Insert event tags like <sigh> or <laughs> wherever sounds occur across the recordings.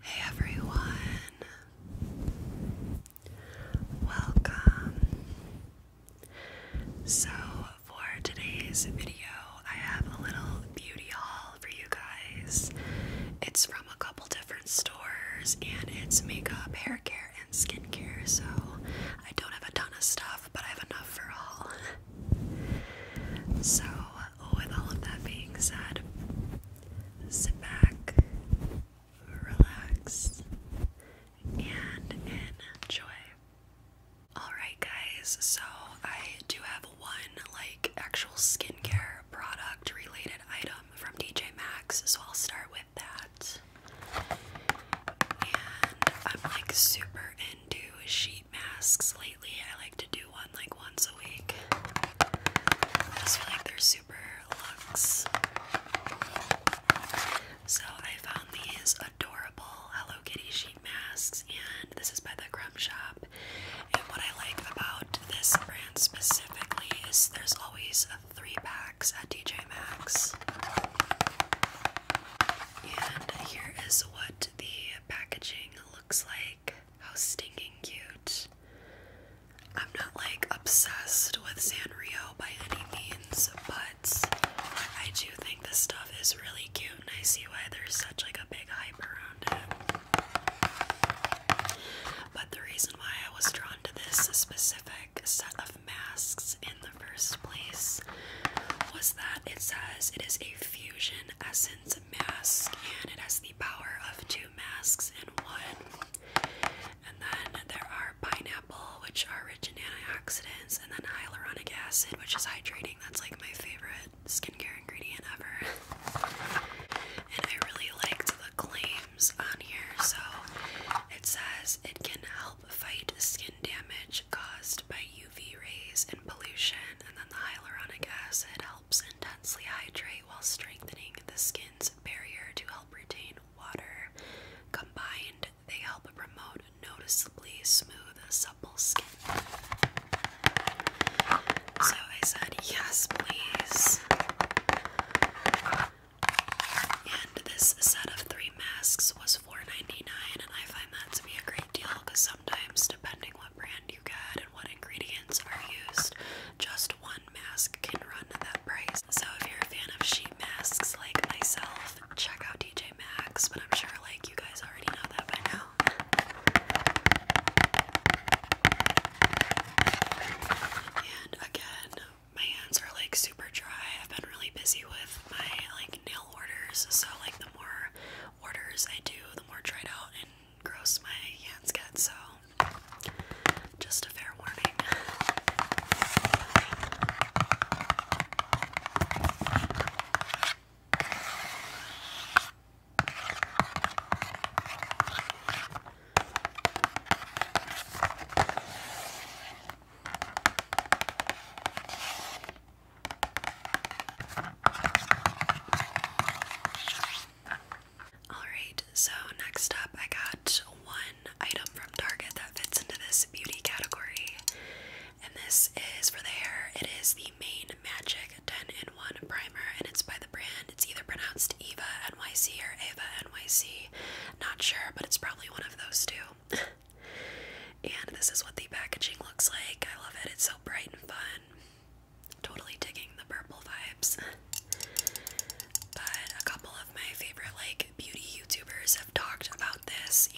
Hey everyone, welcome. So, for today's video, I have a little beauty haul for you guys. It's from a couple different stores and it's makeup, hair care, and skincare. So, I don't have a ton of stuff but I have enough for all. so, with all of that being said, sit back, relax, and enjoy. Alright, guys, so I do have one like actual skincare product related item from DJ Maxx, so I'll start with that. And I'm like super into sheet masks lately. I like to do one like once a week. I just feel like they're super luxe. So I found these adorable Hello Kitty sheet masks, and this is by the Crumb Shop. And what I like about this brand specifically is there's always three packs at DJ Maxx. And here is what the packaging looks like. How stinking cute. I'm not like obsessed with Sanrio by any means, but I do think this stuff is really cute and I see why there's such like a big hype around it. But the reason why I was drawn to this specific set of masks in the first place was that it says it is a few. Essence Mask, and it has the power of two masks in one. And then there are pineapple, which are rich in antioxidants, and then hyaluronic acid, which is hydrating. That's like my favorite skincare ingredient ever. and I really liked the claims on here. So it says it can help fight skin damage caused by UV rays and pollution, and then the hyaluronic acid helps intensely hydrate while strengthening the skin's barrier to help retain water. Combined, they help promote noticeably smooth, supple skin. So I said, yes, please. And this set of three masks was 4 and I find that to be a great deal because sometimes depending what brand you get and what ingredients are used, just one mask can run that price. So if you're a fan of sheet masks like myself, check out DJ Maxx, but I'm sure like you guys already know that by now. And again, my hands are like super dry. I've been really busy with my like nail orders, so like the more orders I do, the more dried out and gross my hands get. So, just a fair warning. Alright, so next up, I got one item from Target that fits into this beauty category. And this is for the hair. It is the Main Magic 10 in 1 Primer, and it's by the brand. It's either pronounced Eva NYC or Ava NYC. Not sure, but it's probably one of those two. <laughs> And this is what the packaging looks like. I love it. It's so bright and fun. Totally digging the purple vibes. But a couple of my favorite like beauty YouTubers have talked about this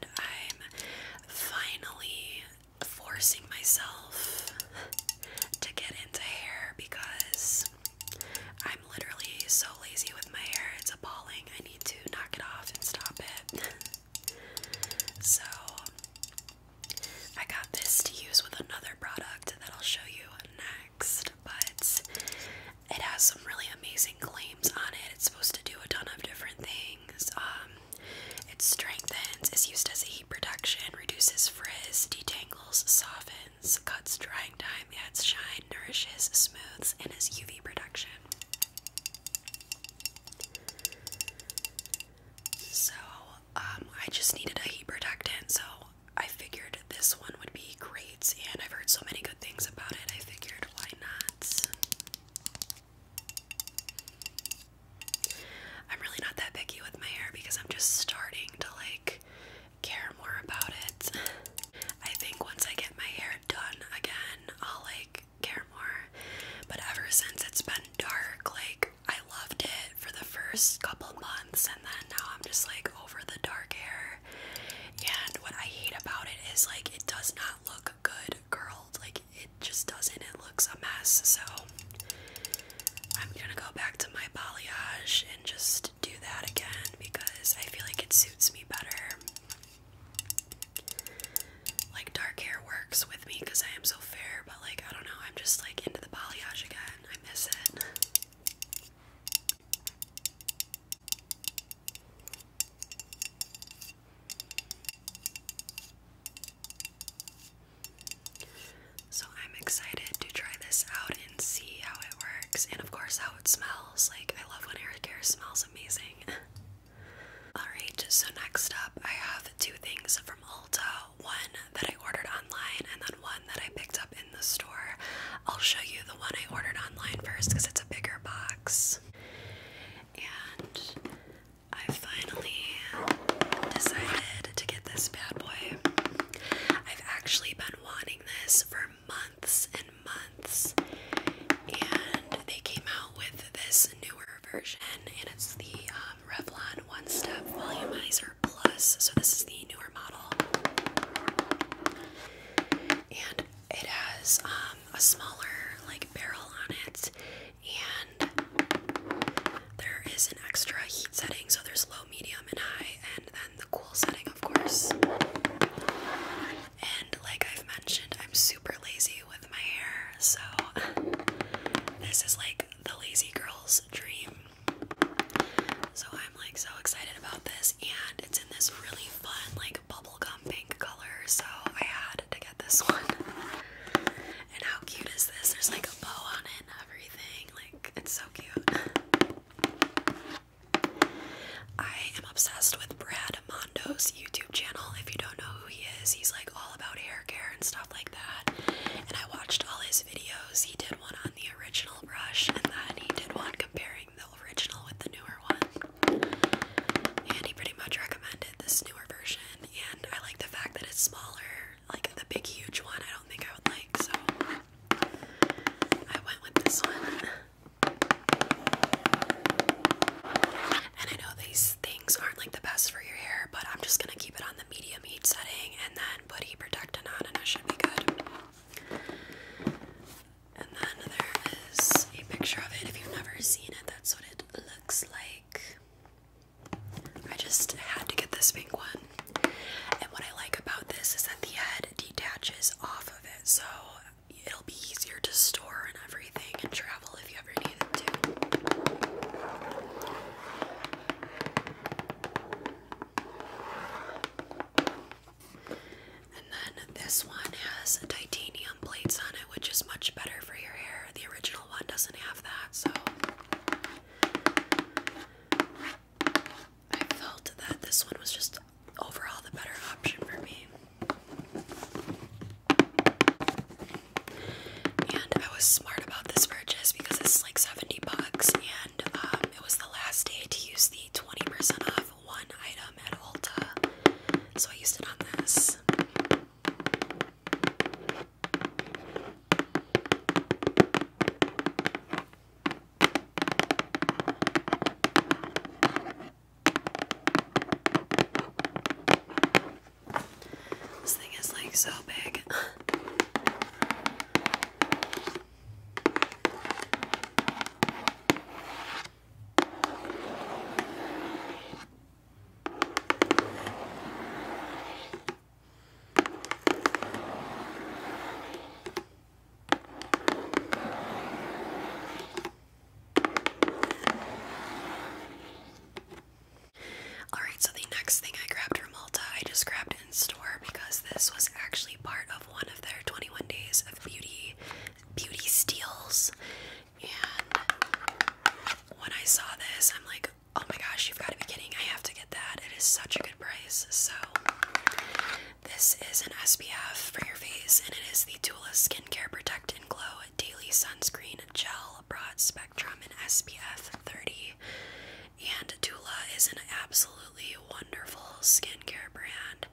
and I'm finally forcing myself to get into hair because I'm literally so lazy with my hair. It's appalling. I need to knock it off and stop it. <laughs> So I got this to use with another product that I'll show you next, but it has some really amazing claims on it. It's supposed to do a ton of different things. Um, it strengthens, is used as a heat production, reduces frizz, detangles, softens, cuts drying time, adds shine, nourishes, smooths, and is UV production. So, um, I just needed a heat protectant, so I figured this one would be great, and I've heard so many good things about it, I figured why not? I'm really not that picky with my hair because I'm just starting to like care more about it. I think once I get my hair done again, I'll like care more. But ever since it's been dark, like I loved it for the first couple months, and then now I'm just like over the dark hair. And what I hate about it is like it does not look good curled, like it just doesn't. It looks a mess. So I'm gonna go back to my balayage and just do that again because I feel like it suits me better. Like dark hair works with me because I am so fair, but like I don't know, I'm just like into the balayage again. I miss it. So I'm excited to try this out and see how it works and of course how it smells. Like I love when hair care smells amazing. <laughs> Alright, so next up, I have two things from Ulta one that I ordered online, and then one that I picked up in the store. I'll show you the one I ordered online first because it's a bigger box. And I finally decided to get this bad boy. I've actually been wanting this for months and months, and they came out with this is newer version, and it's the um, Revlon One Step Volumizer Plus. So this is the newer model, and it has um, a smaller like barrel on it, and there is an extra heat setting. So there's low, medium, and high, and then the cool setting, of course. And like I've mentioned, I'm super lazy with my hair, so this is like the lazy girl's dream. So I'm like so excited about this, and it's in this really fun, like bubblegum pink color, so I had to get this <laughs> one. And how cute is this? There's like a bow on it and everything. Like, it's so cute. I am obsessed with Brad Mondo's YouTube channel. If you don't know who he is, he's like all about hair care and stuff like that. And I watched all his videos. He did one on the original brush, and then he did one comparing the original with the newer one. And he pretty much recommended this newer version. And I like the fact that it's smaller. Like the big, huge one, I don't think I would like, so I went with this one. And I know these things aren't like the best for your hair, but I'm just gonna keep it on the medium heat setting and then put heat protectant on, and it should be good. And then there is a picture of it. If you've never seen it, that's what it looks like. I just had to get this pink one. And what I like about this is that the head detaches off of it. So it'll be easier to store and everything and travel if you ever need it to. And then this one has titanium plates on it, which is much better for your hair. The original one doesn't have that, so I felt that this one was just overall the better option for me. And I was smart about this purchase because it's like 70 bucks and um, it was the last day to use the 20% off one item at Ulta. So I used it on this. This thing is like so big. Alright, so the next thing I grabbed from Ulta, I just grabbed in store because this was actually part of one of their 21 days of beauty beauty steals. And when I saw this, I'm like, oh my gosh, you've got to be kidding. I have to get that. It is such a good price. So this is an SPF for your face, and it is the Tula Skincare Protect and Glow Daily Sunscreen gel, broad spectrum, and SPF 30. And Tula is an absolutely wonderful skincare brand.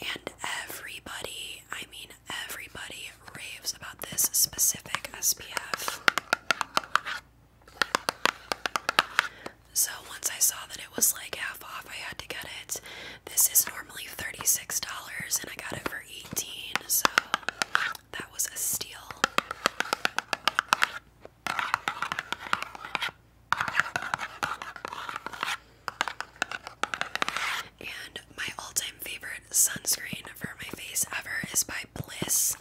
And everybody, I mean, everybody raves about this specific SPF. So once I saw that it was like half off, I had to get it. This is normally normally $36 and I got it for 18 so that was a steal. And my all-time favorite sunscreen for my face ever is by Bliss.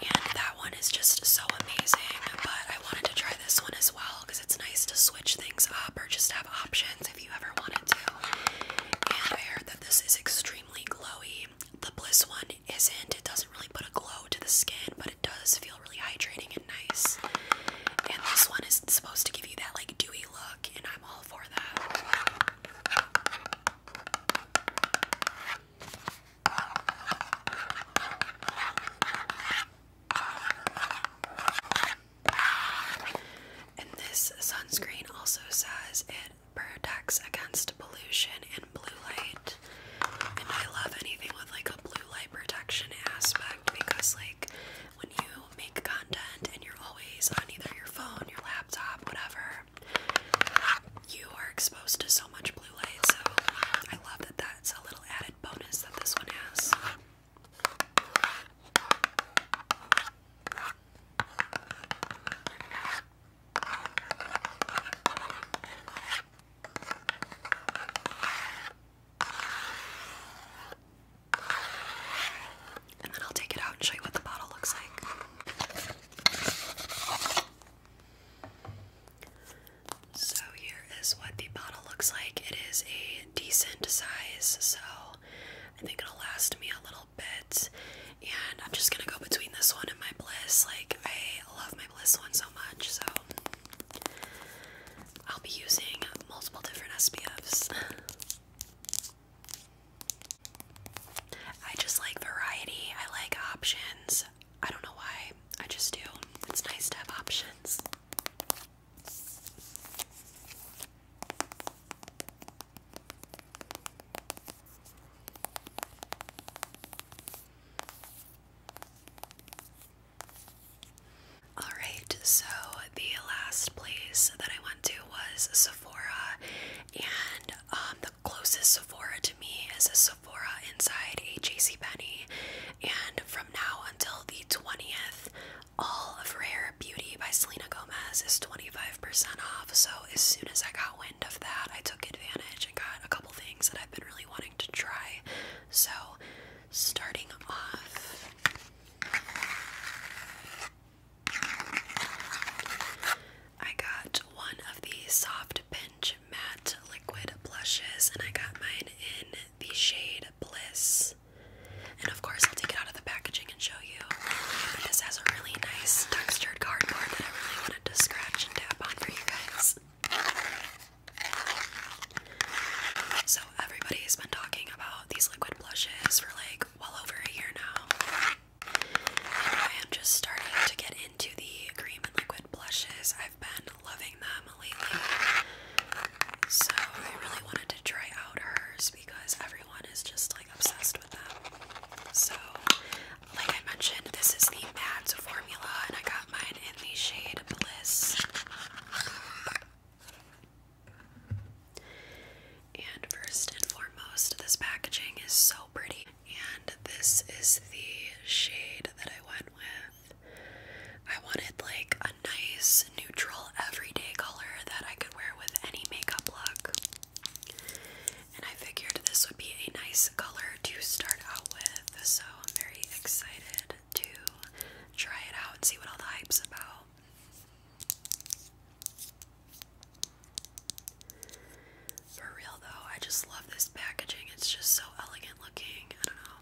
And that one is just so amazing, but I wanted to try this one as well because it's nice to switch things up or just have options if you ever want I heard that this is extremely glowy. The Bliss one isn't. It doesn't really put a glow to the skin, but it does feel really hydrating and nice. And this one is supposed to give you that like dewy look, and I'm all for that. And this sunscreen also says it protects against pollution and blue light. And I love anything with like a blue light protection aspect because, like, when you make content and you're always on either your phone, your laptop, whatever, you are exposed to so much blue light. So I love that that's a little added bonus that this one has. And then I'll take it out and show you what the bottle looks like. So, here is what the bottle looks like. It is a decent size, so I think it'll last me a little bit. And I'm just gonna go between this one and my Bliss. Like, I love my Bliss one so much, so I'll be using multiple different SPFs. I just like variety, I like options. I don't know why, I just do. It's nice to have options. Alright, so the last place that I went to was Sephora, and um, the closest Sephora to me is a Sephora inside a Penney. And from now until the 20th all of Rare Beauty by Selena Gomez is 25% off, so as soon as I got wind of that, I took advantage and got a couple things that I've been really wanting to try. So, starting off, I got one of the Soft Pinch Matte Liquid Blushes, and I got mine in the shade Bliss. And of course, take it out of the packaging and show you. this has a really nice textured cardboard that I really wanted to scratch and tap on for you guys. So, everybody's been talking about these liquid blushes for like well over a year now. And I am just starting to get into the cream and liquid blushes. I've been loving them lately. So, I really wanted to try out hers because everyone is just like obsessed with them. So, like I mentioned, this is the Mads formula, and I got mine in the shade Bliss. And first and foremost, this packaging is so pretty. And this is the shade that I went with. I wanted like a nice neutral everyday color that I could wear with any makeup look. And I figured this would be a nice color to start out with, so I'm very excited to try it out and see what all the hype's about. For real though, I just love this packaging. It's just so elegant looking. I don't know.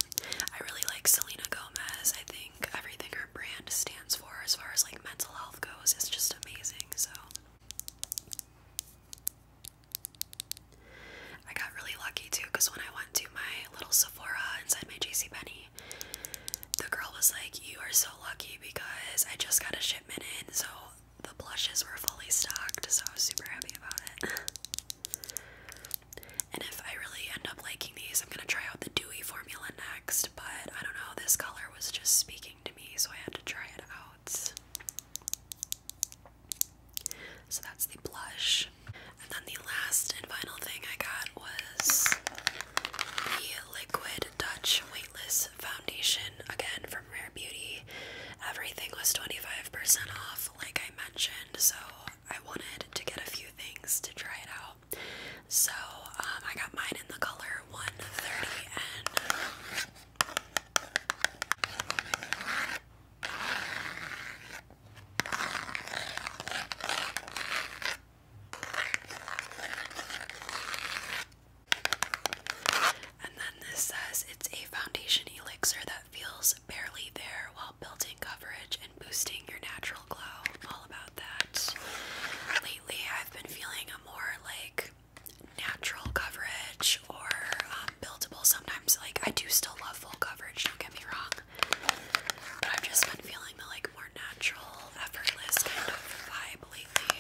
I really like Selena Gomez. I think everything her brand stands for as far as like mental health goes is just amazing. So I got really lucky too because when I went to my little Sephora inside my J C. JCPenney, the girl was like, You are so lucky because I just got a shipment in, so the blushes were fully stocked, so I was super happy about it. <laughs> and if I really end up liking these, I'm gonna try out the formula next, but I don't know, this color was just speaking to me, so I had to try it out. So that's the blush. And then the last and final thing I got was the Liquid Dutch Weightless Foundation, again from Rare Beauty. Everything was 25% off, like I mentioned, so I wanted to get a few things to try it out. So um, I got mine in the color 130 and. then this says it's a foundation elixir that feels barely there while building coverage and boosting your natural glow. all about that. I've been feeling a more like natural coverage or um, buildable sometimes. Like, I do still love full coverage, don't get me wrong. But I've just been feeling the like more natural, effortless kind of vibe lately.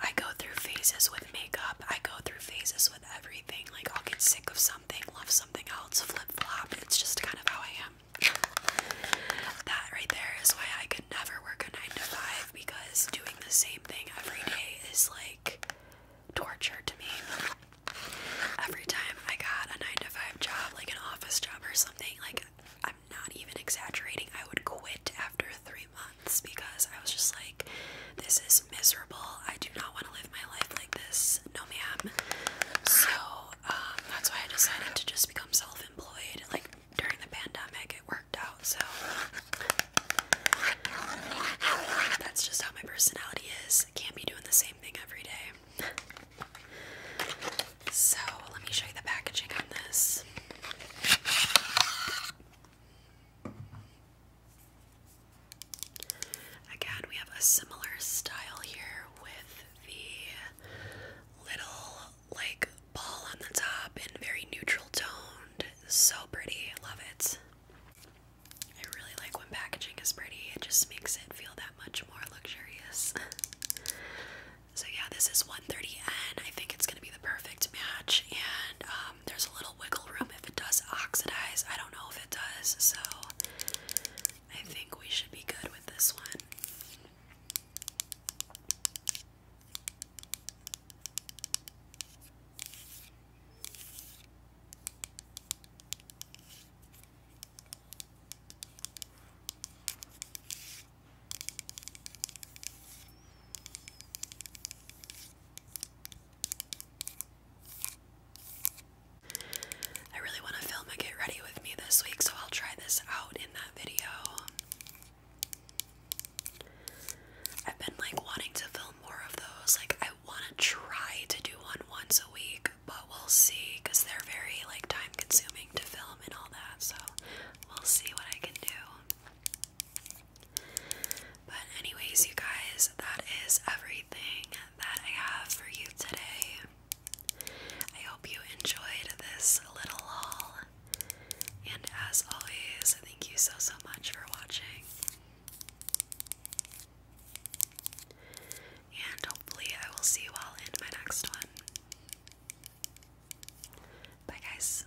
I go through phases with makeup, I go through phases with everything. Like, I'll get sick of something, love something else, flip flop. It's just kind of how I am that right there is why I could never work a 9 to 5 because doing the same thing every day is like torture to me. Every time I got a 9 to 5 job, like an office job or something, like I'm not even exaggerating, I would quit after three months because I was just like, this is miserable. I do not want to live my life like this. No, ma'am. So, um, that's why I decided to just become self employed, like during the pandemic, it worked out. So that's just how my personality is. Can't be doing the same thing every day. So let me show you the packaging on this. Again, we have a similar style here with the little like ball on the top and very neutral toned. So pretty. Love it. I really like when packaging is pretty. It just makes it feel that much more luxurious. <laughs> so yeah, this is 130N. I think it's going to be the perfect match and um, there's a little wiggle room if it does oxidize. I don't know if it does. So I think we should be good with this one. I really want to film a get ready with me this week, so I'll try this out in that video. I've been like wanting to film more of those. Like I want to try to do one once a week, but we'll see cuz they're very like time consuming to film and all that. So, we'll see what I can do. But anyways, you guys, that is everything that I have for you today. I hope you enjoyed this little haul. And as always, thank you so, so much for watching. And hopefully, I will see you all in my next one. Bye, guys.